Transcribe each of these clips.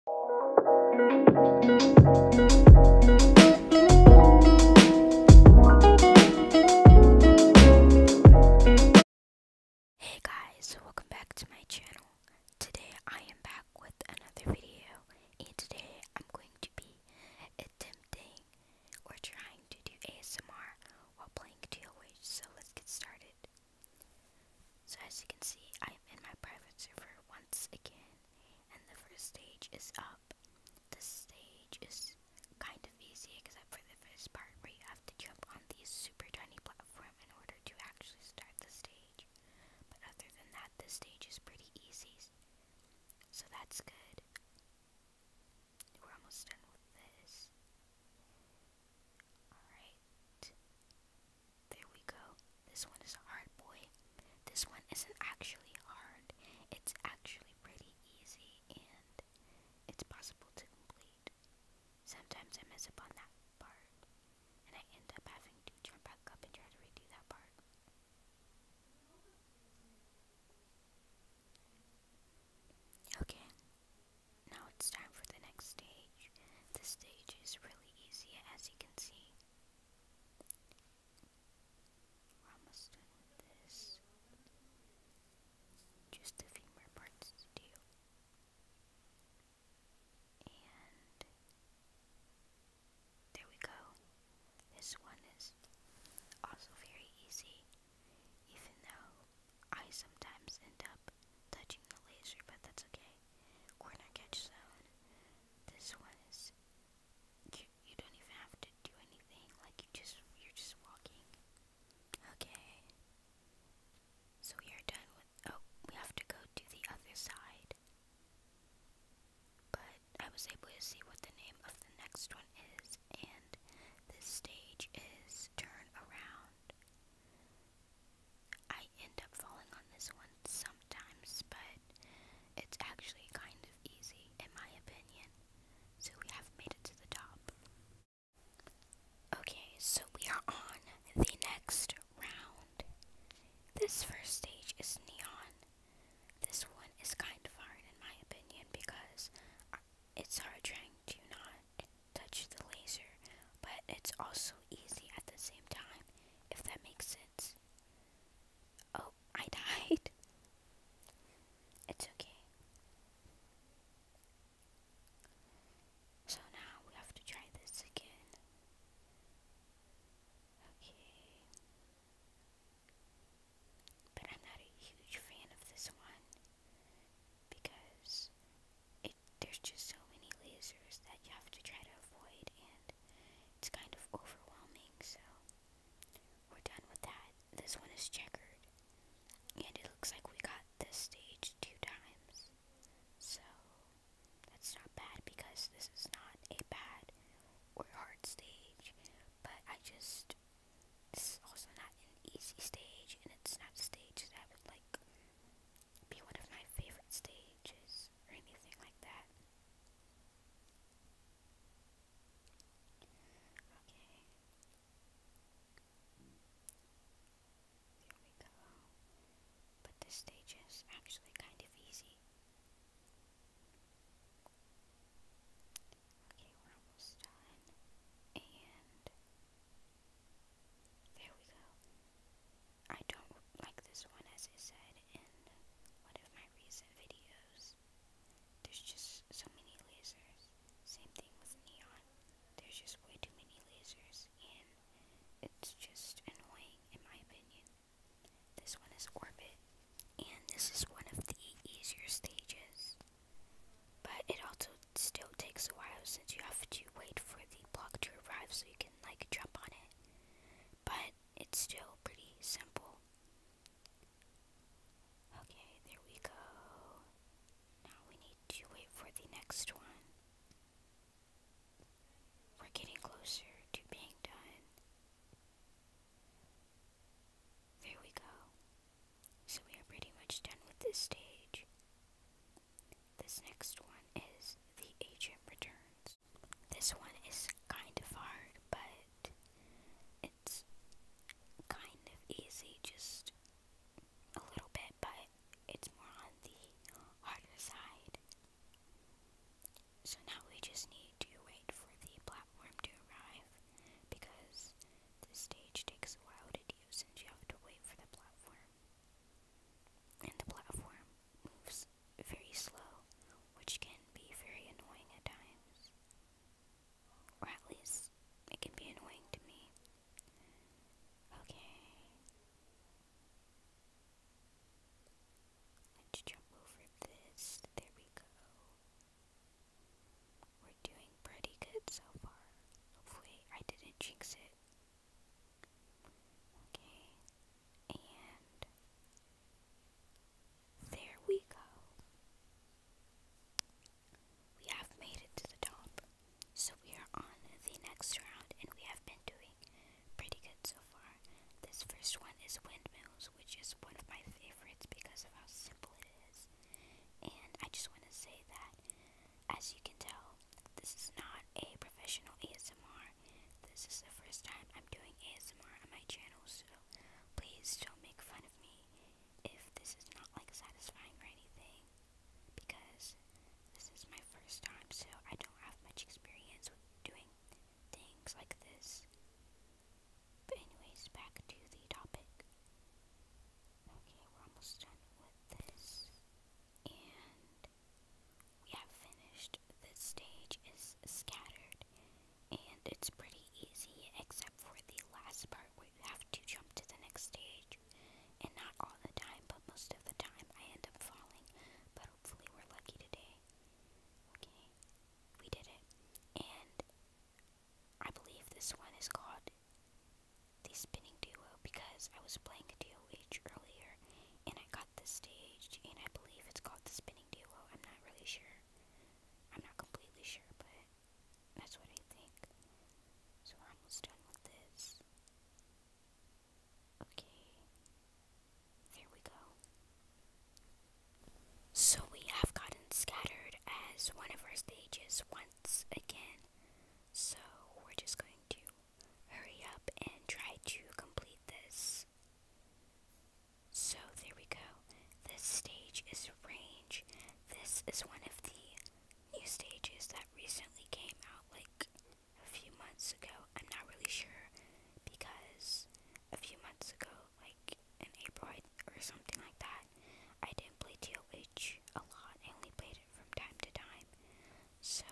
Hey guys, welcome back to my channel. Today I am back with another video and today I'm going to be attempting or trying to do ASMR while playing TOH, so let's get started. So as you can see, I'm in my private server once again, and the first stage is up. This stage is kind of easy except for the first part where you have to jump on these super tiny platforms in order to actually start the stage. But other than that, the stage is pretty easy. So that's good. We're almost done with this. Alright. There we go. This one is hard, boy. This one isn't actually hard. It's actually pretty easy and it's possible to complete. Sometimes I mess up on that part and I end up having to jump back up and try to redo that part. Okay. Now it's time for the next stage stage. The stage is really easy as you can see. Just a few more parts to do. And there we go. This one is also very easy, even though I sometimes end up touching the laser, but that's okay. Corner catch zone. This one is you, you don't even have to do anything. Like you just you're just walking. Okay. So we are done with. Oh, we have to go to the other side. But I was able to see what the name of the next one is, and this stage is turn around. I end up falling on this one sometimes, but it's actually kind of easy, in my opinion. So we have made it to the top. Okay, so we are on the next round. This first stage is neon. This one is kind of hard, in my opinion, because uh, it's hard trying to not touch the laser, but it's also easy at the same time, if that makes sense. Oh, I died. It's okay. So now we have to try this again. Okay. But I'm not a huge fan of this one because there's just so many lasers that you have to try to avoid, and it's kind of overwhelming, so we're done with that. This one is checkered, and it looks like we got this stage two times, so that's not bad because this is not a bad or hard stage, but I just, it's also not an easy stage, and it's not a stage that I would like be one of my favorite stages or anything like that. Okay. There we go. But this stage is actually kind of easy. Okay, we're almost done. And there we go. I don't like this one, as I said in one of my recent videos. There's just so many lasers. Same thing with neon. There's just way too many lasers, and it's just annoying, in my opinion. This one is orbit, and this is one of the easier stages. But it also still takes a while since you have to wait for the block to arrive so you can like jump on it. But it's still pretty simple. Okay, there we go. Now we need to wait for the next one. We're getting closer to being done. There we go. So we are pretty much done with this stage. This next one is The Agent Returns. This one is kind of hard, but it's kind of easy, just a little bit, but it's more on the harder side. So now we just need to wait for the platform to arrive because this stage takes a while to since you have to wait for the platform. And the platform moves very slow, which can be very annoying at times. Or at least, it can be annoying to me. Okay. Let's jump over this. There we go. We're doing pretty good so far. Hopefully, I didn't jinx it. Okay, and there we go. We have made it to the top. So we are on the next round, and we have been doing pretty good so far. This first one is windmills, which is one of my favorites because of how simple it is. And I just want to say that, as you can tell, this is not a professional ASMR. This is the first time I'm doing ASMR on my channel, so please don't make fun of me if this is not like satisfying or anything, because this is my first time, so I don't have much experience with doing things like this. But anyways, back to the topic. Okay, we're almost done with this. And we have finished. The stage is scattered. And it's pretty easy, except for the last part where you have to jump to the next stage. And not all the time, but most of the time I end up falling. But hopefully we're lucky today. Okay, we did it. And I believe this one is called the spinning duo because I was playing a DOH earlier and I got the stage, and I believe it's called the spinning duo. I'm not really sure. I'm not completely sure, but that's what I think. So we're almost done with this. Okay. There we go. So we have gotten scattered as one of our stages. One again. So we're just going to hurry up and try to complete this. So there we go. This stage is range. This is one of the new stages that recently came out like a few months ago. I'm not really sure because a few months ago like in April or something like that. I didn't play TOH a lot, I only played it from time to time. So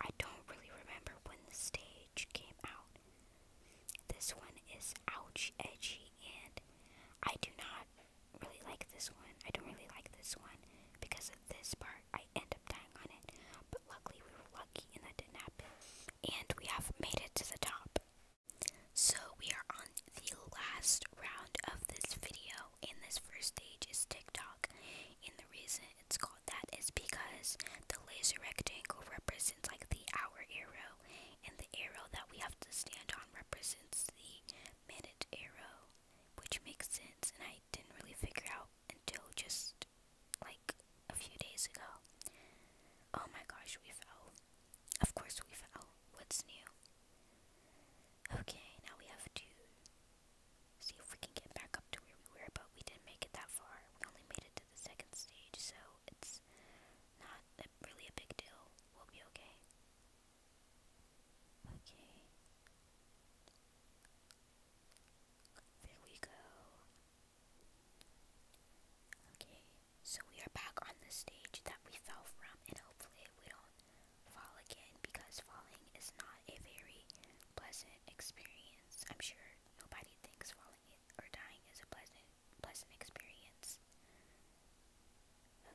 I don't really remember when the stage came out. This one is ouch edgy and I do not really like this one. I don't really like this one because of this part. I end up dying on it. But luckily we were lucky and that didn't happen. And we have made it to the top. So we are on the last round of this video and this first stage is TikTok. And the reason it's called that is because the laser rectangle represents like the hour arrow and the arrow that we have to stand on represents the minute arrow, which makes sense and I didn't really figure out until just like a few days ago. Oh my gosh, we fell. Of course we've oh, what's new? Okay, now we have to see if we can get back up to where we were, but we didn't make it that far. We only made it to the second stage, so it's not a, really a big deal. We'll be okay. Okay. There we go. Okay. So we are back on the stage that we fell from, and hopefully we don't fall again because falling is not a very pleasant experience. I'm sure nobody thinks falling or dying is a pleasant, pleasant experience.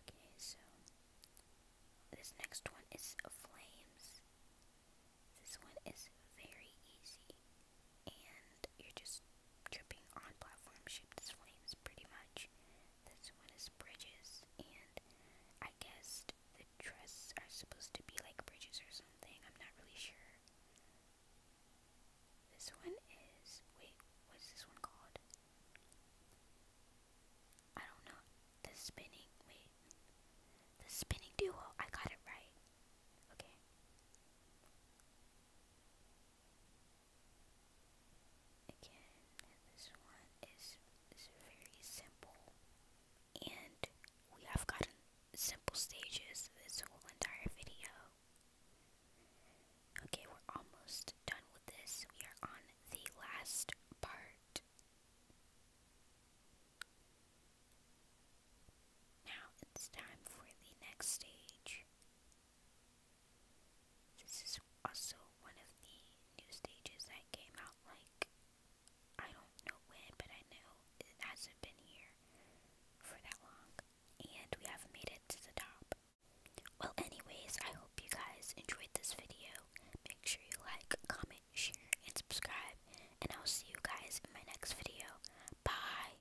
Okay, so this next one is flames. This one is very easy and you're just tripping on platform shaped flames pretty much. This one is bridges, and I guess the trusses are supposed to be like bridges or something. I'm not really sure. This one is. Wait, what's this one called? I don't know. The spinning. Wait. The spinning duo. I got it right. Okay. Again, this one is, is very simple, and we have gotten simple stages this whole entire video. Okay, we're almost done with this. We are on the last part. Now it's time for the next stage. This is also one of the new stages that came out like I don't know when, but I know it hasn't been here for that long. And we haven't made it to the top. Well anyways, I hope you guys enjoyed this video. Make sure you like, comment, share, and subscribe. And I'll see you guys in my next video. Bye!